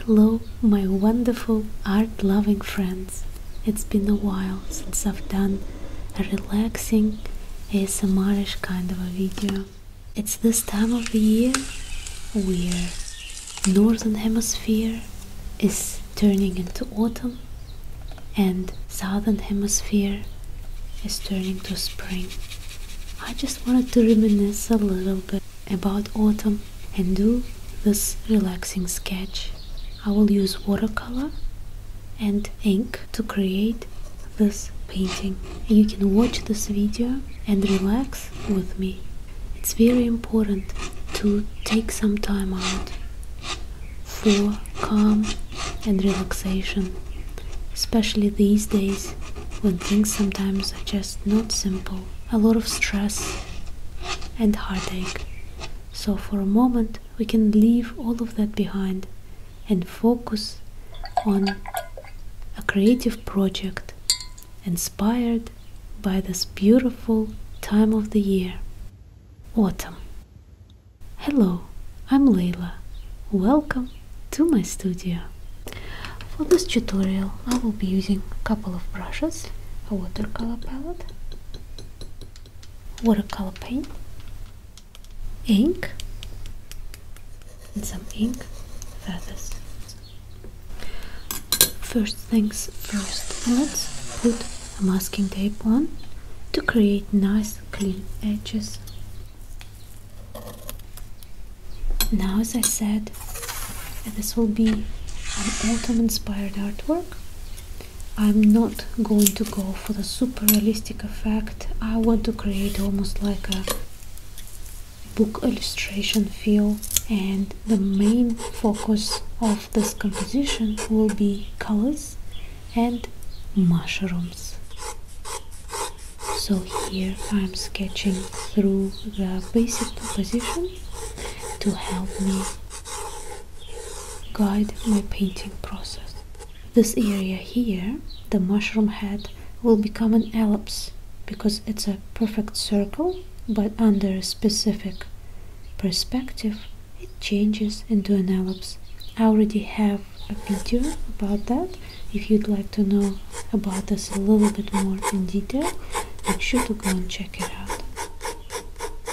Hello, my wonderful art loving friends. It's been a while since I've done a relaxing ASMRish kind of a video. It's this time of the year where northern hemisphere is turning into autumn and southern hemisphere is turning to spring. I just wanted to reminisce a little bit about autumn and do this relaxing sketch. I will use watercolor and ink to create this painting. You can watch this video and relax with me. It's very important to take some time out for calm and relaxation, especially these days when things sometimes are just not simple a lot of stress and heartache. So, for a moment, we can leave all of that behind and focus on a creative project inspired by this beautiful time of the year autumn. Hello, I'm Layla. Welcome to my studio. For this tutorial I will be using a couple of brushes, a watercolor palette, watercolor paint, ink and some ink feathers. First things first, let's put a masking tape on to create nice clean edges. Now, as I said, this will be an autumn inspired artwork. I'm not going to go for the super realistic effect. I want to create almost like a book illustration feel and the main focus of this composition will be colors and mushrooms so here I'm sketching through the basic composition to help me guide my painting process this area here the mushroom head will become an ellipse because it's a perfect circle but under a specific perspective it changes into an ellipse I already have a video about that if you'd like to know about us a little bit more in detail make sure to go and check it out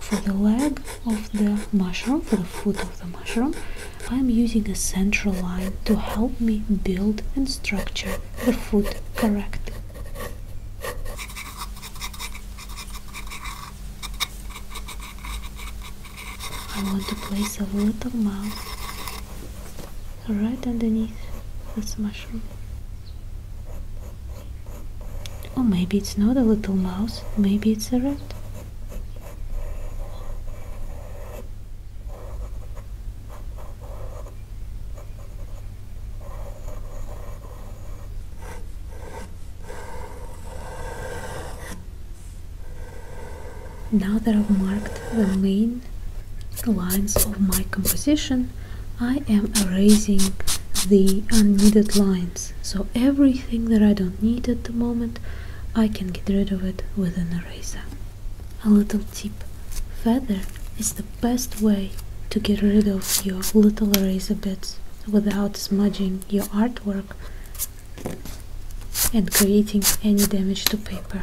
for the leg of the mushroom for the foot of the mushroom i'm using a central line to help me build and structure the foot correctly I want to place a little mouth right underneath this mushroom. Oh, maybe it's not a little mouse, maybe it's a rat. Now that I've marked the main lines of my composition, I am erasing the unneeded lines. So everything that I don't need at the moment, I can get rid of it with an eraser. A little tip, feather is the best way to get rid of your little eraser bits without smudging your artwork and creating any damage to paper.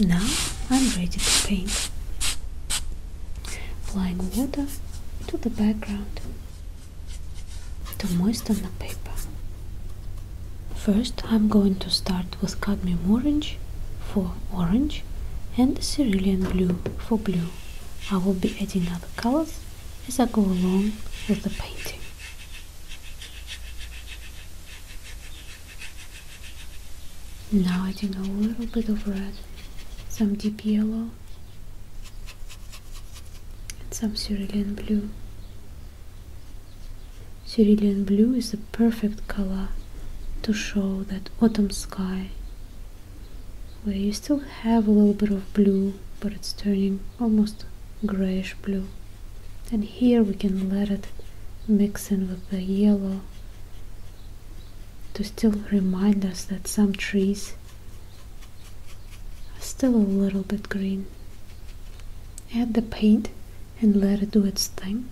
Now I'm ready to paint. Applying water to the background to moisten the paper. First I'm going to start with cadmium orange for orange and cerulean blue for blue. I will be adding other colors as I go along with the painting. Now I adding a little bit of red, some deep yellow, and some cerulean blue. Cerulean blue is the perfect color to show that autumn sky where you still have a little bit of blue but it's turning almost grayish blue and here we can let it mix in with the yellow to still remind us that some trees are still a little bit green add the paint and let it do its thing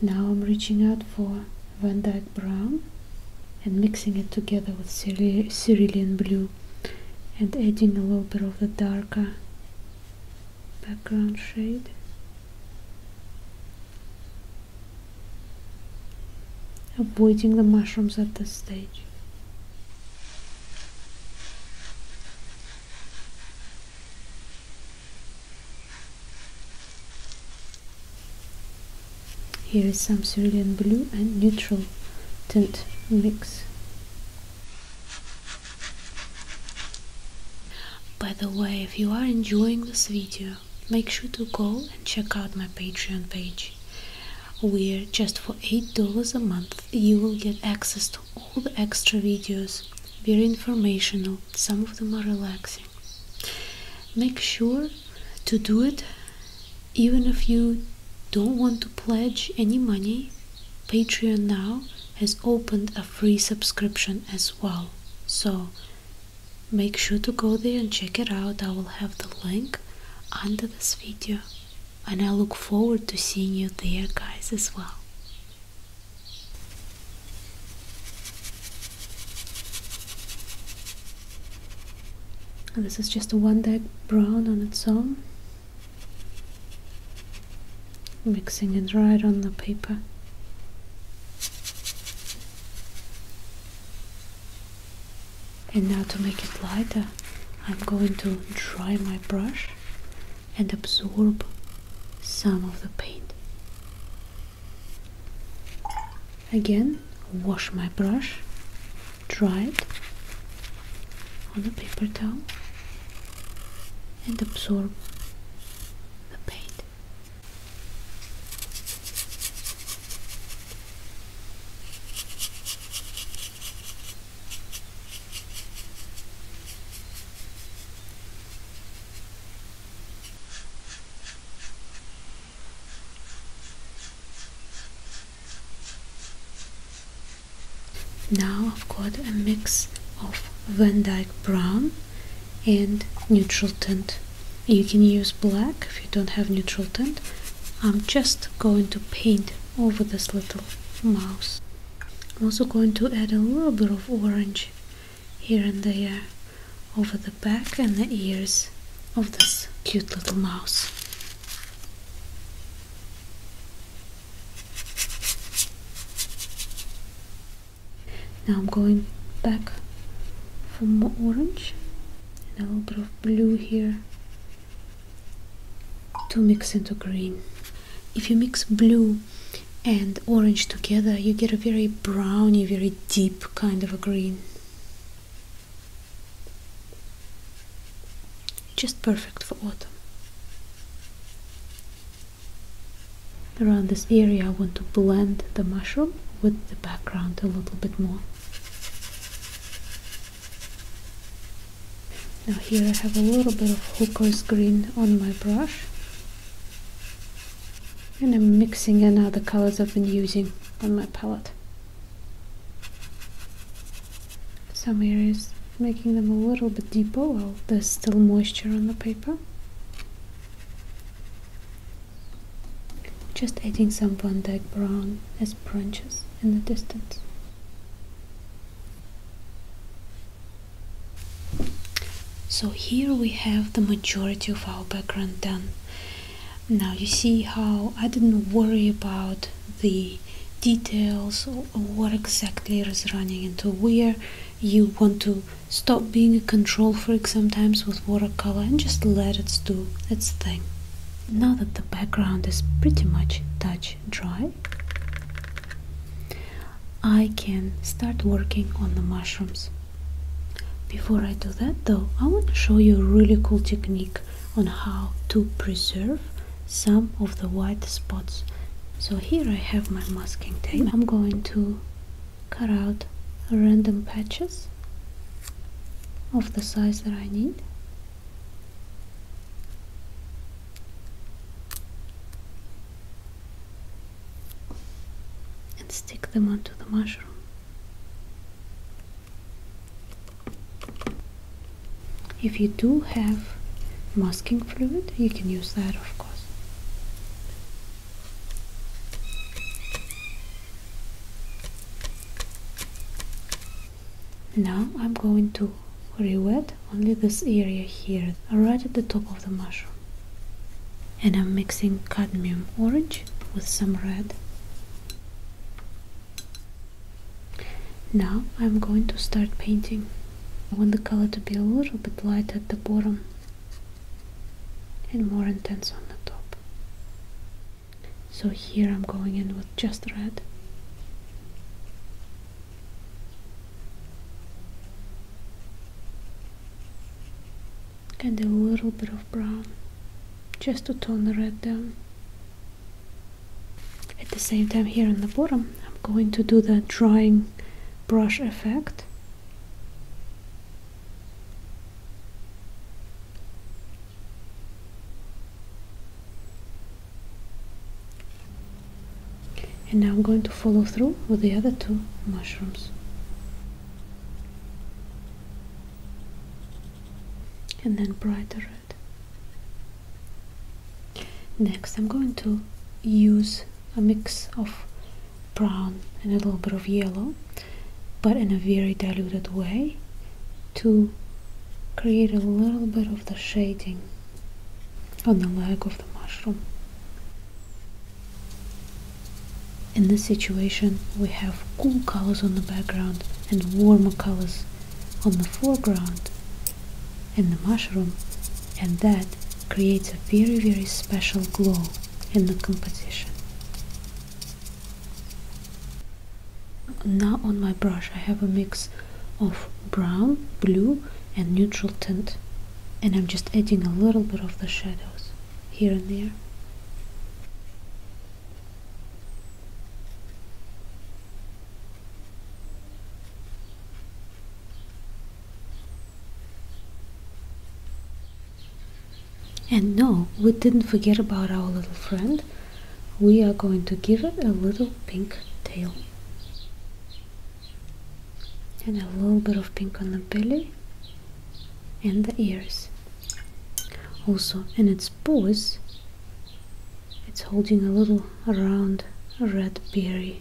now I'm reaching out for Van Dyke Brown and mixing it together with cerulean Blue and adding a little bit of the darker background shade avoiding the mushrooms at this stage Here is some cerulean blue and neutral tint mix by the way, if you are enjoying this video, make sure to go and check out my Patreon page, where just for $8 a month you will get access to all the extra videos. Very informational, some of them are relaxing. Make sure to do it even if you don't want to pledge any money? Patreon now has opened a free subscription as well. So make sure to go there and check it out. I will have the link under this video. And I look forward to seeing you there, guys, as well. And this is just a one deck brown on its own mixing it right on the paper. And now to make it lighter, I'm going to dry my brush and absorb some of the paint. Again, wash my brush dry it on a paper towel and absorb the paint. Now I've got a mix of Van Dyke brown and neutral tint. You can use black if you don't have neutral tint. I'm just going to paint over this little mouse. I'm also going to add a little bit of orange here and there over the back and the ears of this cute little mouse. Now I'm going back for more orange and a little bit of blue here to mix into green. If you mix blue and orange together, you get a very browny, very deep kind of a green. Just perfect for autumn. Around this area I want to blend the mushroom with the background a little bit more. Now here I have a little bit of hooker's green on my brush. And I'm mixing in other colors I've been using on my palette some areas making them a little bit deeper while there's still moisture on the paper just adding some Van Dyke brown as branches in the distance so here we have the majority of our background done now you see how I didn't worry about the details what exactly is running into where you want to stop being a control freak sometimes with watercolor and just let it do its thing now that the background is pretty much touch dry I can start working on the mushrooms before I do that though I want to show you a really cool technique on how to preserve some of the white spots so here I have my masking tape I'm going to cut out random patches of the size that I need and stick them onto the mushroom if you do have masking fluid, you can use that of course. Now I'm going to re-wet only this area here, right at the top of the mushroom. And I'm mixing cadmium orange with some red now I'm going to start painting. I want the color to be a little bit light at the bottom and more intense on the top. So here I'm going in with just red. And a little bit of brown just to tone the red down. At the same time here on the bottom I'm going to do the drying brush effect and now I'm going to follow through with the other two mushrooms and then brighter Next I'm going to use a mix of brown and a little bit of yellow but in a very diluted way to create a little bit of the shading on the leg of the mushroom. In this situation we have cool colors on the background and warmer colors on the foreground and the mushroom and that creates a very very special glow in the composition. Now on my brush I have a mix of brown, blue and neutral tint and I'm just adding a little bit of the shadows here and there. And no, we didn't forget about our little friend. We are going to give it a little pink tail. And a little bit of pink on the belly and the ears. Also, in its paws, it's holding a little round red berry.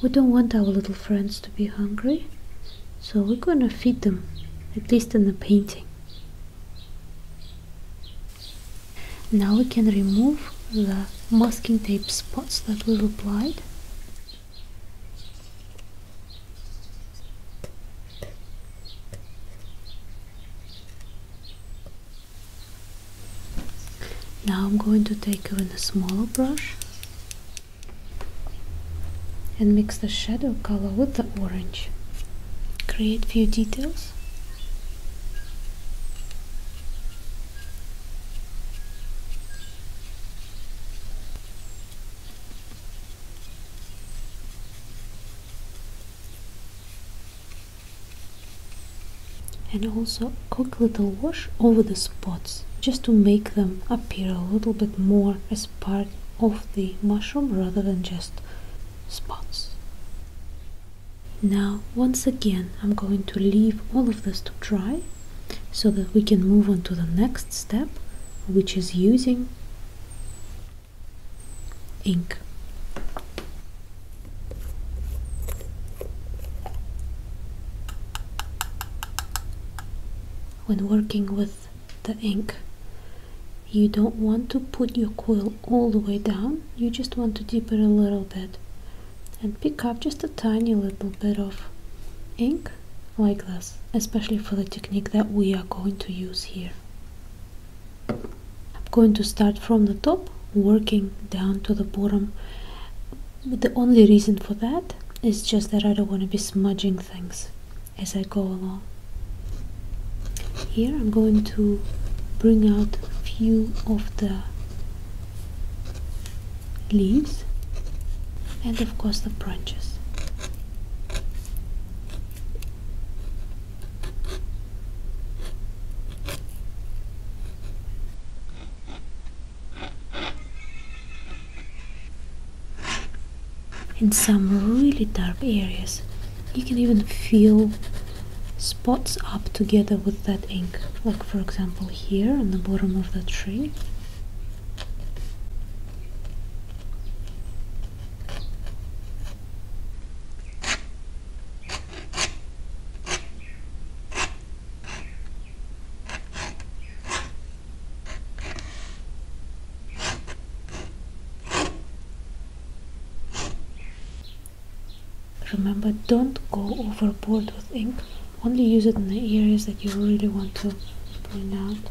We don't want our little friends to be hungry, so we're gonna feed them, at least in the painting. Now we can remove the masking tape spots that we've applied. Now I'm going to take even a smaller brush and mix the shadow color with the orange. Create few details and also quick little wash over the spots just to make them appear a little bit more as part of the mushroom rather than just spots now once again I'm going to leave all of this to dry so that we can move on to the next step which is using ink. When working with the ink, you don't want to put your quill all the way down, you just want to dip it a little bit and pick up just a tiny little bit of ink like this, especially for the technique that we are going to use here. I'm going to start from the top working down to the bottom but the only reason for that is just that I don't want to be smudging things as I go along. Here I'm going to bring out a few of the leaves and of course the branches. In some really dark areas, you can even feel spots up together with that ink, like for example here on the bottom of the tree. Remember, don't go overboard with ink. Only use it in the areas that you really want to point out.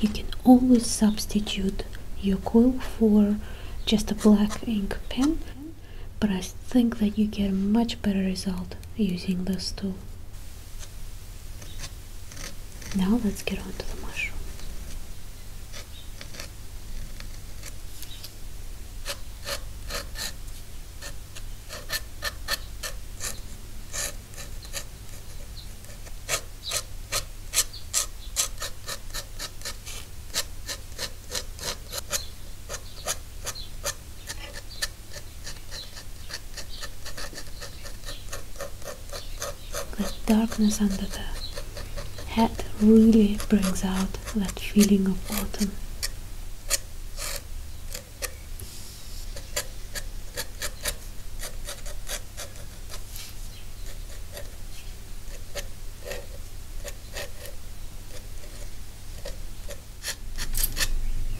You can always substitute your quill for just a black ink pen, but I think that you get a much better result using this tool. Now let's get on to the mushrooms. The darkness under the hat really brings out that feeling of autumn.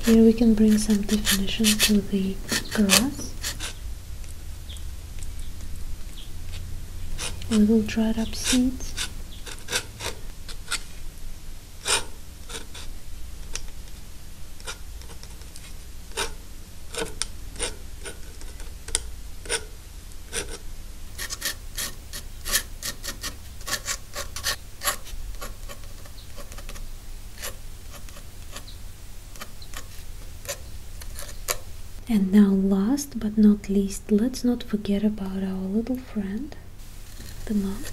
Here we can bring some definition to the grass. Little dried up seeds. And now last but not least, let's not forget about our little friend, the mouse.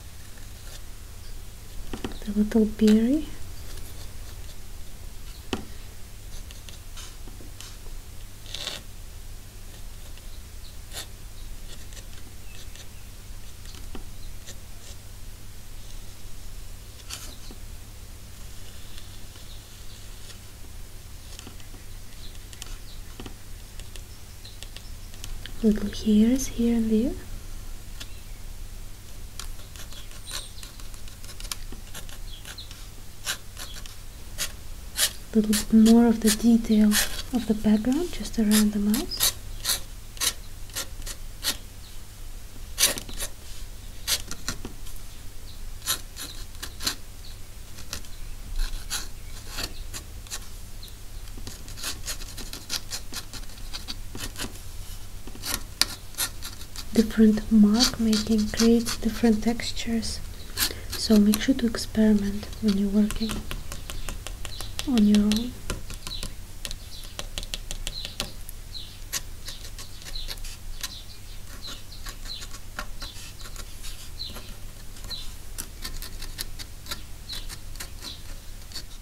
the little berry little hairs here and there. A little bit more of the detail of the background just around the mouth. Different mark making creates different textures, so make sure to experiment when you're working on your own.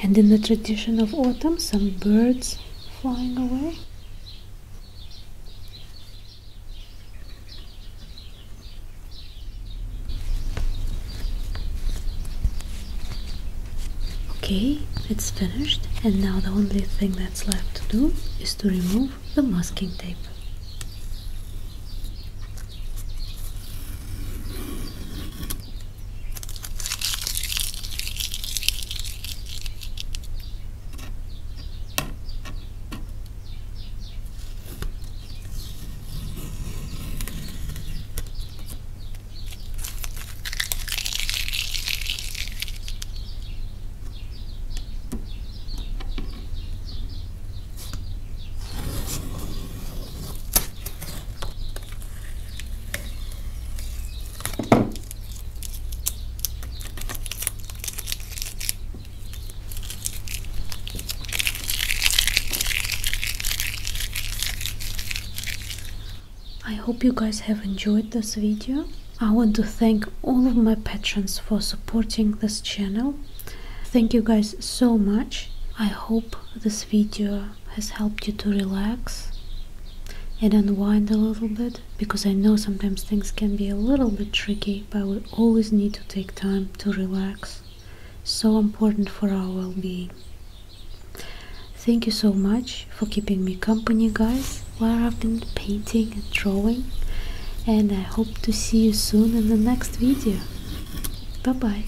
And in the tradition of autumn, some birds flying away. Okay, it's finished and now the only thing that's left to do is to remove the masking tape. I hope you guys have enjoyed this video I want to thank all of my patrons for supporting this channel. Thank you guys so much. I hope this video has helped you to relax and unwind a little bit because I know sometimes things can be a little bit tricky but we always need to take time to relax. So important for our well-being. Thank you so much for keeping me company guys where I've been painting and drawing and I hope to see you soon in the next video. Bye bye.